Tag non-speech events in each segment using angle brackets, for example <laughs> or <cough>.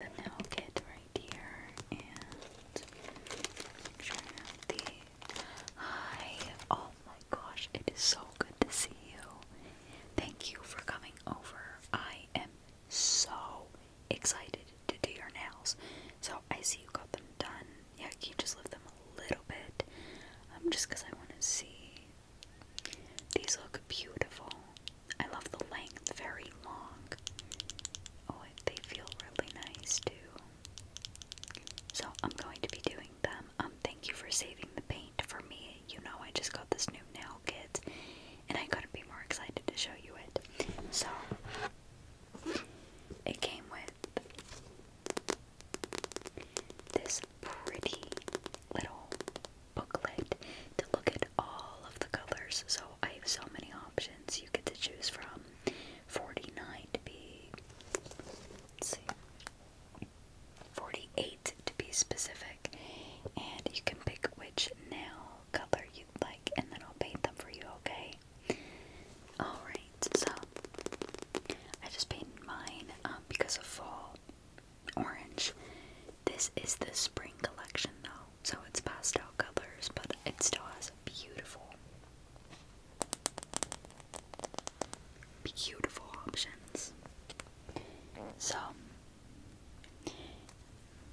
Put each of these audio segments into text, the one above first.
the nail kit right here and hi. Oh my gosh, it is so good to see you. Thank you for coming over. I am so excited to do your nails. So I see you got them done. Yeah, can you just lift them a little bit? Um, just because I want to see. These look beautiful. I love the length, very long. Oh, they feel really nice too. So I'm going to be doing them. Um, thank you for saving the paint for me. You know, I just got this new nail kit, and I couldn't be more excited to show you it. So it came with this pretty little booklet to look at all of the colors. So I have so many options you get to choose from. 49 to be, 48 to be specific. And you can pick which nail color you like, and then I'll paint them for you, okay? Alright, so I just painted mine um, because of fall orange. This is the spring collection though, so it's pastel colors, but it still has beautiful, beautiful options. So,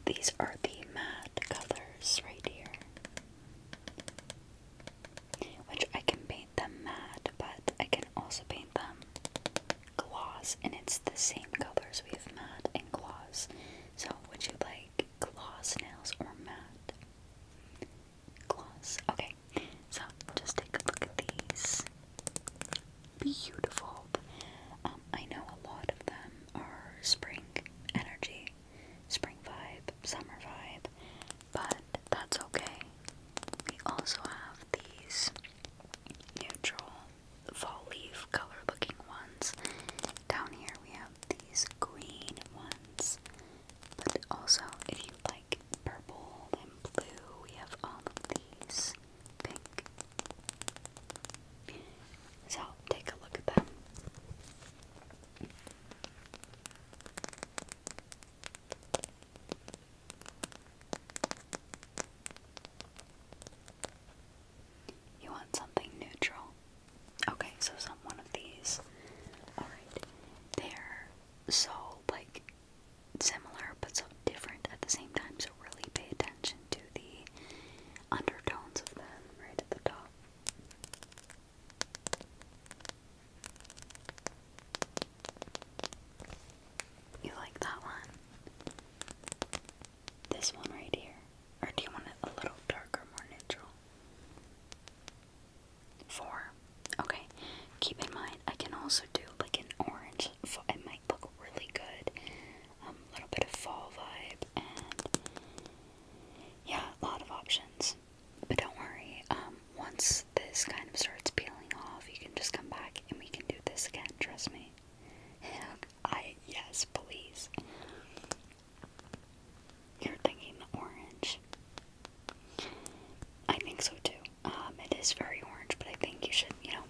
these are the matte colors right here, which I can paint them matte, but I can also paint them gloss, and it's the same colors we have matte and gloss. So, would you like gloss nails or matte? Gloss. Okay. So, just take a look at these. Beautiful. Um, I know a lot of them are spring energy, spring vibe, summer vibe, but that's okay. We also have these neutral fall leaf color looking ones. Down here we have these green ones. But also, if you like purple and blue, we have all of these. Pink. So, take a look at them. You want something neutral? Okay, so some one of these. Alright. They're so like similar but so different at the same time, so really pay attention to the undertones of them right at the top. You like that one? This one right here. Or do you want it a little darker, more neutral? Four. Okay. Keep in mind, I can also do like an orange. It might look really good. Um, a little bit of fall vibe, and yeah, a lot of options. But don't worry. Um, once this kind of starts peeling off, you can just come back and we can do this again. Trust me. I yes, please. You're thinking orange. I think so too. Um, it is very orange, but I think you should, you know,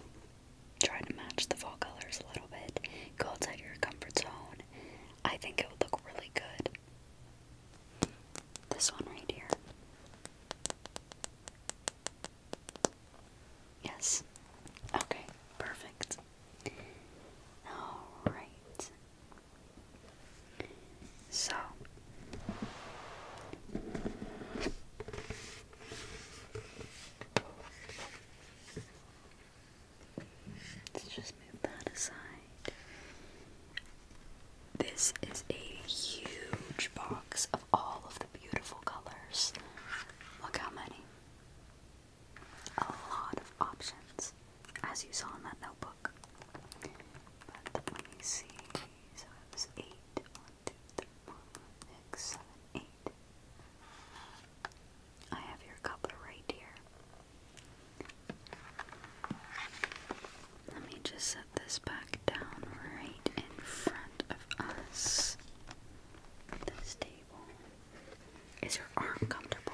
try to match the fall colors a little bit. Go outside your comfort zone. I think it would look really good. This one right here. Yes. Okay, perfect. Alright. So. Let's just move that aside. This is a huge box of all of the beautiful colors. Look how many a lot of options, as you saw in that notebook. But let me see. So I have your coupler right here. Let me just set this back down right in front of us. This table. Is your arm comfortable?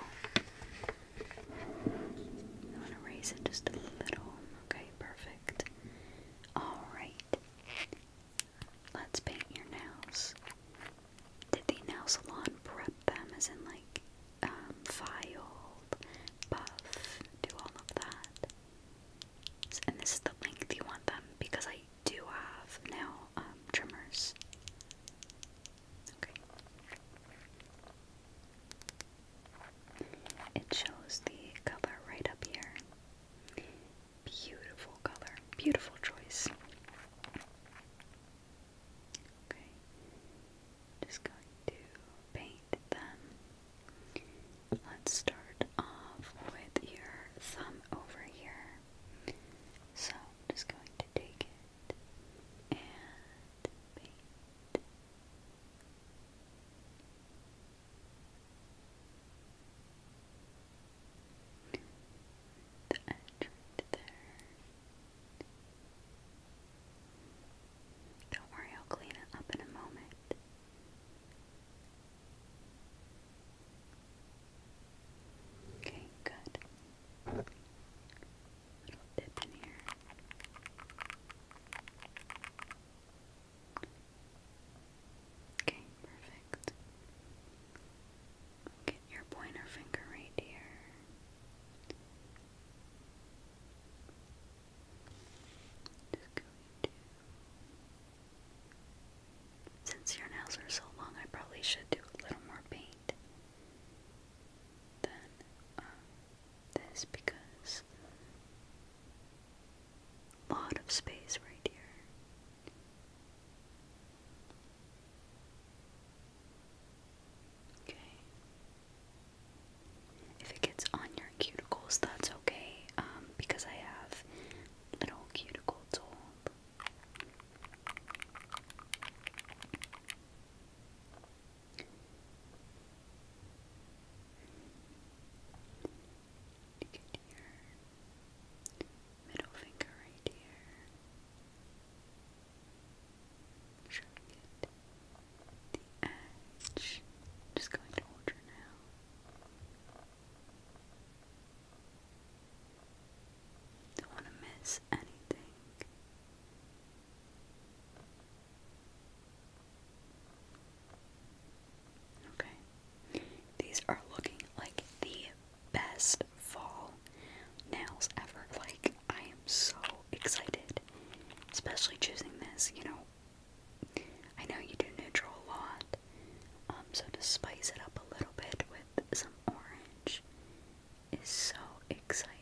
I'm to raise it just a little. Okay, perfect. Alright. Let's paint your nails. Did the nail salon prep them as in like um, buff, do all of that? And this is the length you want them because I do have now um, trimmers. Okay. It shows the color right up here. Beautiful color. Beautiful choice. Okay. Just going to paint them. Let's start off with your thumb over here. So I'm just going to take it and paint. The edge there. Don't worry, I'll clean it up in a moment. Okay, good. Little dip in here. Okay, perfect. Get your pointer finger right here. Just going to since your nails are so long, I probably should do a little more paint than um, this because a lot of space right here. Okay. If it gets on your cuticles, that's okay um, because I have little cuticle tool you middle finger right here. Sure get the edge. Just going to hold now. Don't want to miss anything. Okay. These are looking like the best fall nails ever. Like, I am so excited. Especially choosing this, you know. I know you do neutral a lot, um, so to spice it up a little bit with some orange is so exciting.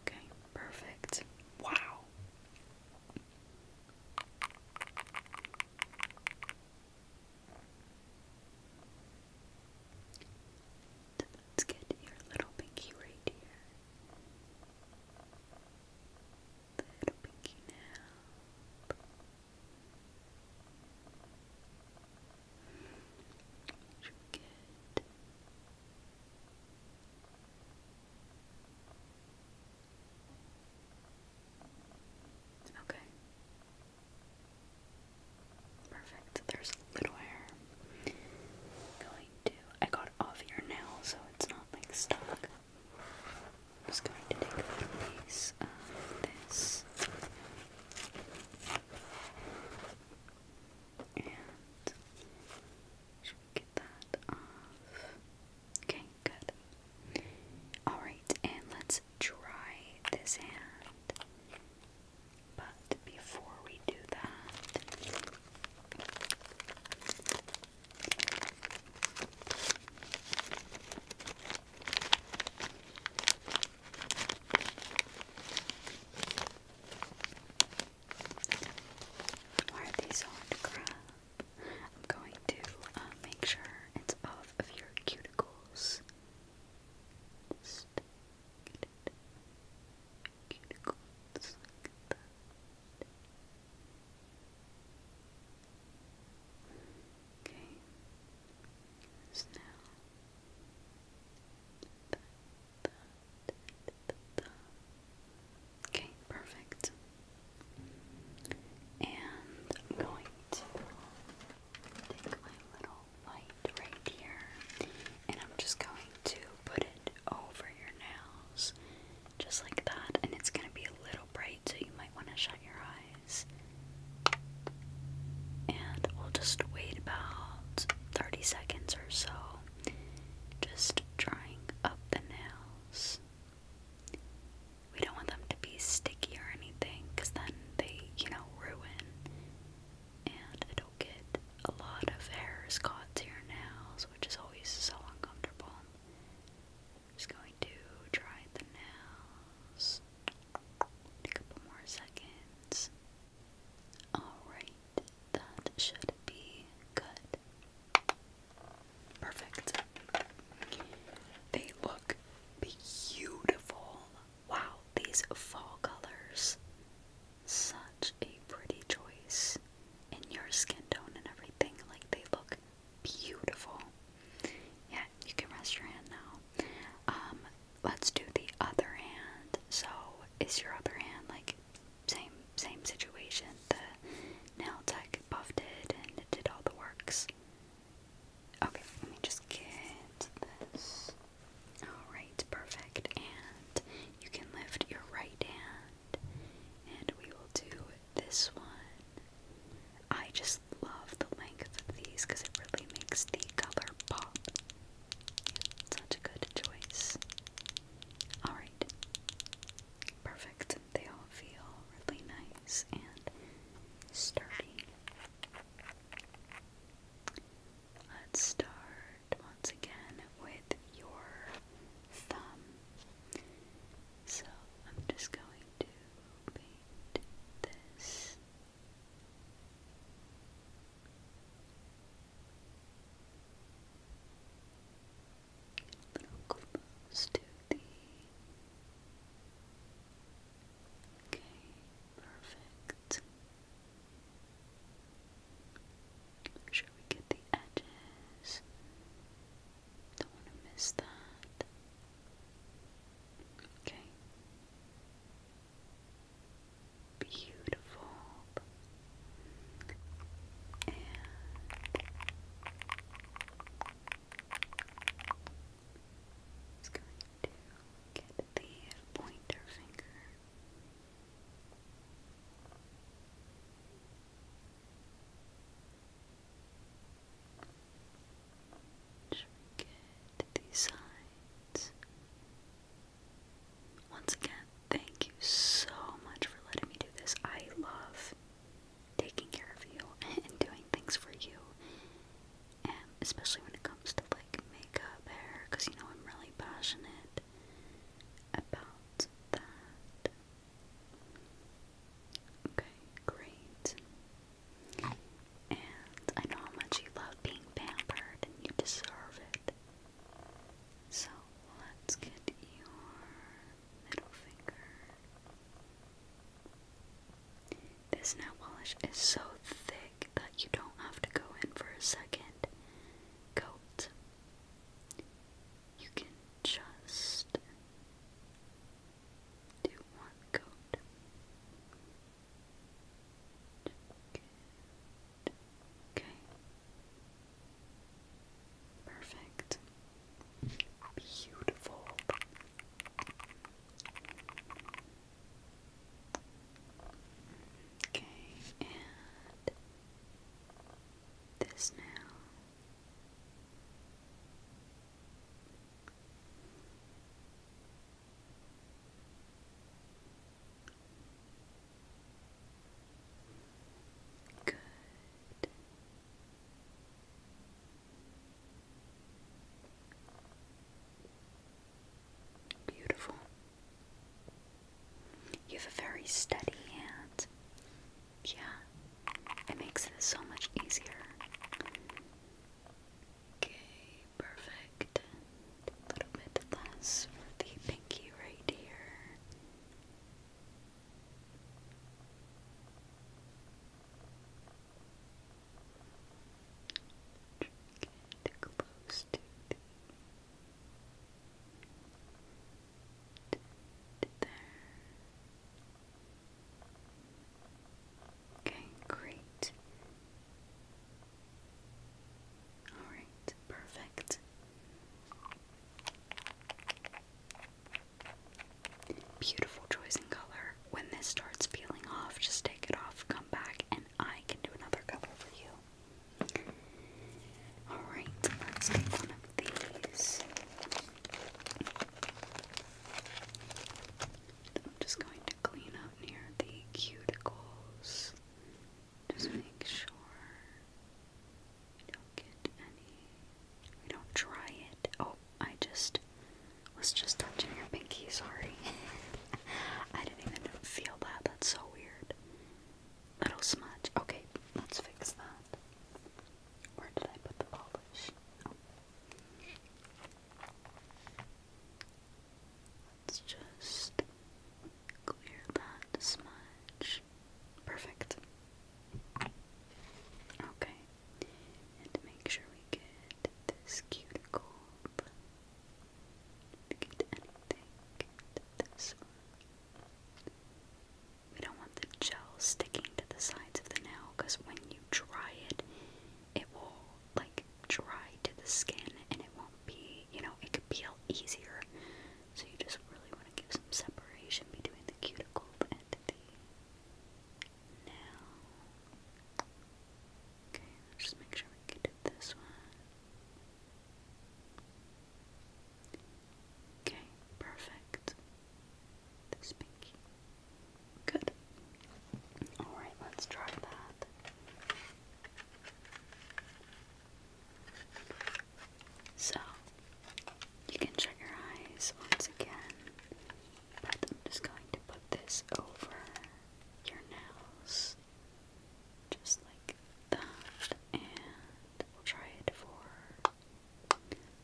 Okay, perfect. Wow. So let's get your little pinky right here. Little pinky now. Should we get Okay. Perfect. There's a little hair. I'm going to I got off your nail so it's not like stuck. just going to take a piece of this and should get that off? Okay, good. Alright, and let's dry this hand. But before we do that, why are these hard I'm going to uh, make sure it's off of your cuticles. Cuticles. Okay. now. Okay, perfect. And I'm going to take my little light right here and I'm just going to put it over your nails just like that and it's going to be a little bright so you might want to shut your eyes. And we'll just wait about 30 seconds or so just drying up the nails. We don't want them to be sticky or anything because then they, you know, ruin. And it'll get a lot of hairs caught to your nails, which is always so uncomfortable. Just going to dry the nails. A couple more seconds. Alright, that should be good. Perfect. They look beautiful. Wow, these fall colors. Such a pretty choice in your skin tone and everything. Like they look beautiful. Yeah, you can rest your hand now. Um, let's do the other hand. So, is your other hand like same same situation? and the nail tech buffed it and it did all the works. Okay, let me just get this. Alright, perfect. And you can lift your right hand, and we will do this one. I just love the length of these because it really makes the color pop. Such a good choice. Alright, perfect they all feel really nice and sturdy. Let's start once again with your thumb. So I'm just going to paint this a little close to the. Okay, perfect. Make sure we get the edges. Don't want to miss that. Okay. Beautiful. And just going to get the pointer finger. Shrink it sides. Once again, thank you so much for letting me do this. I love taking care of you <laughs> and doing things for you. And um, especially when it comes to like makeup, hair, because you know I'm really passionate about that. Okay, great. And I know how much you love being pampered and you deserve it. So let's get your middle finger. This nail polish is so thick that you don't have to go in for a second coat. You can just do one coat. Okay. Perfect. Beautiful. Okay, and this now. Good. Beautiful. You have a very steady hand. Yeah, it makes this so much easier. Okay, perfect. A little bit less for the pinky right here. Get close to the there. Okay, great. All right, perfect. Beautiful choice in color. When this starts peeling off, just take it off, come back, and I can do another color for you. Alright, let's take one of these. I'm just going to clean up near the cuticles. Just make sure. We don't get any. We don't try it. Oh, I just was just touching your pinky. Sorry. <laughs> I didn't even feel that. That's so weird. Little smudge. Okay, let's fix that. Where did I put the polish? Oh. Let's just clear that smudge. Perfect. Okay. And make sure we get this cuticle. get anything. Get this We don't want the gel sticking to the sides of the nail because when you dry it, it will like dry to the skin and it won't be, you know, it could peel easier. So you just really want to give some separation between the cuticle and the nail. Okay, just make sure we can do this one. Okay, perfect. This pinky. Good. Alright, let's try that. So you can shut your eyes once again, but I'm just going to put this over your nails, just like that, and we'll try it for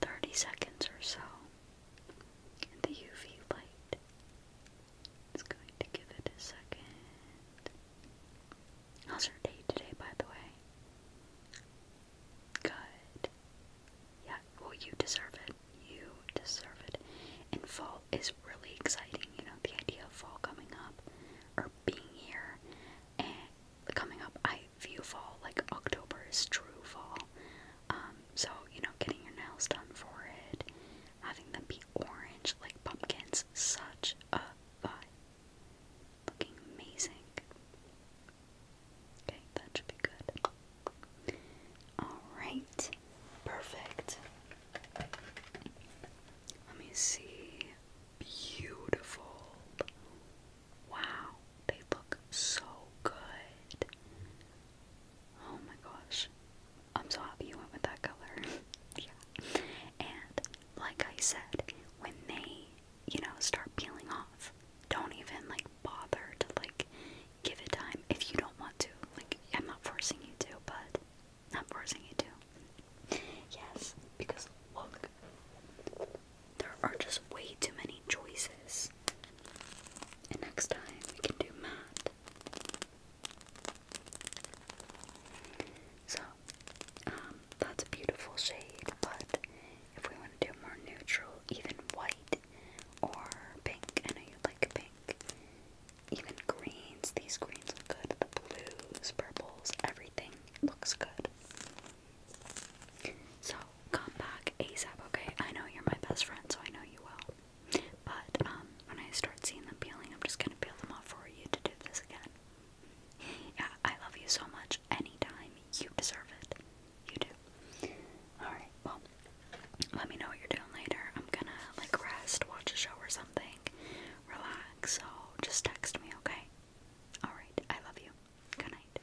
30 seconds or so. And the UV light is going to give it a second. How's your day today, by the way? Good. Yeah, well, you deserve it. You deserve it. And fall is really exciting, you know, the idea of fall coming up or being here and coming up. I view fall like October is true fall. Um, so, you know, getting your nails done for it, having them be orange like pumpkins, such a vibe. Looking amazing. Okay, that should be good. Alright, perfect. Let me see. Beautiful. Wow, they look so good. Oh my gosh. I'm so happy you went with that color. <laughs> yeah. And like I said, when they you know, start peeling off. Don't even like bother to like give it time if you don't want to. Like I'm not forcing you to, but not forcing you to. Yes, because look, there are just way too many choices. next time we can do math. So, um, that's a beautiful shade, but if we want to do more neutral, even white or pink. I know you like pink. Even greens, these greens look good. The blues, purples, everything looks good. So come back ASAP, okay? I know you're my best friend, so I know you will. But um, when I start seeing them peeling, I'm just gonna peel them off for you to do this again. Yeah, I love you so much. Anytime. You deserve it. You do. Alright, well, let me know what you're doing later. I'm gonna, like, rest, watch a show or something, relax, so just text me, okay? Alright, I love you. Good night.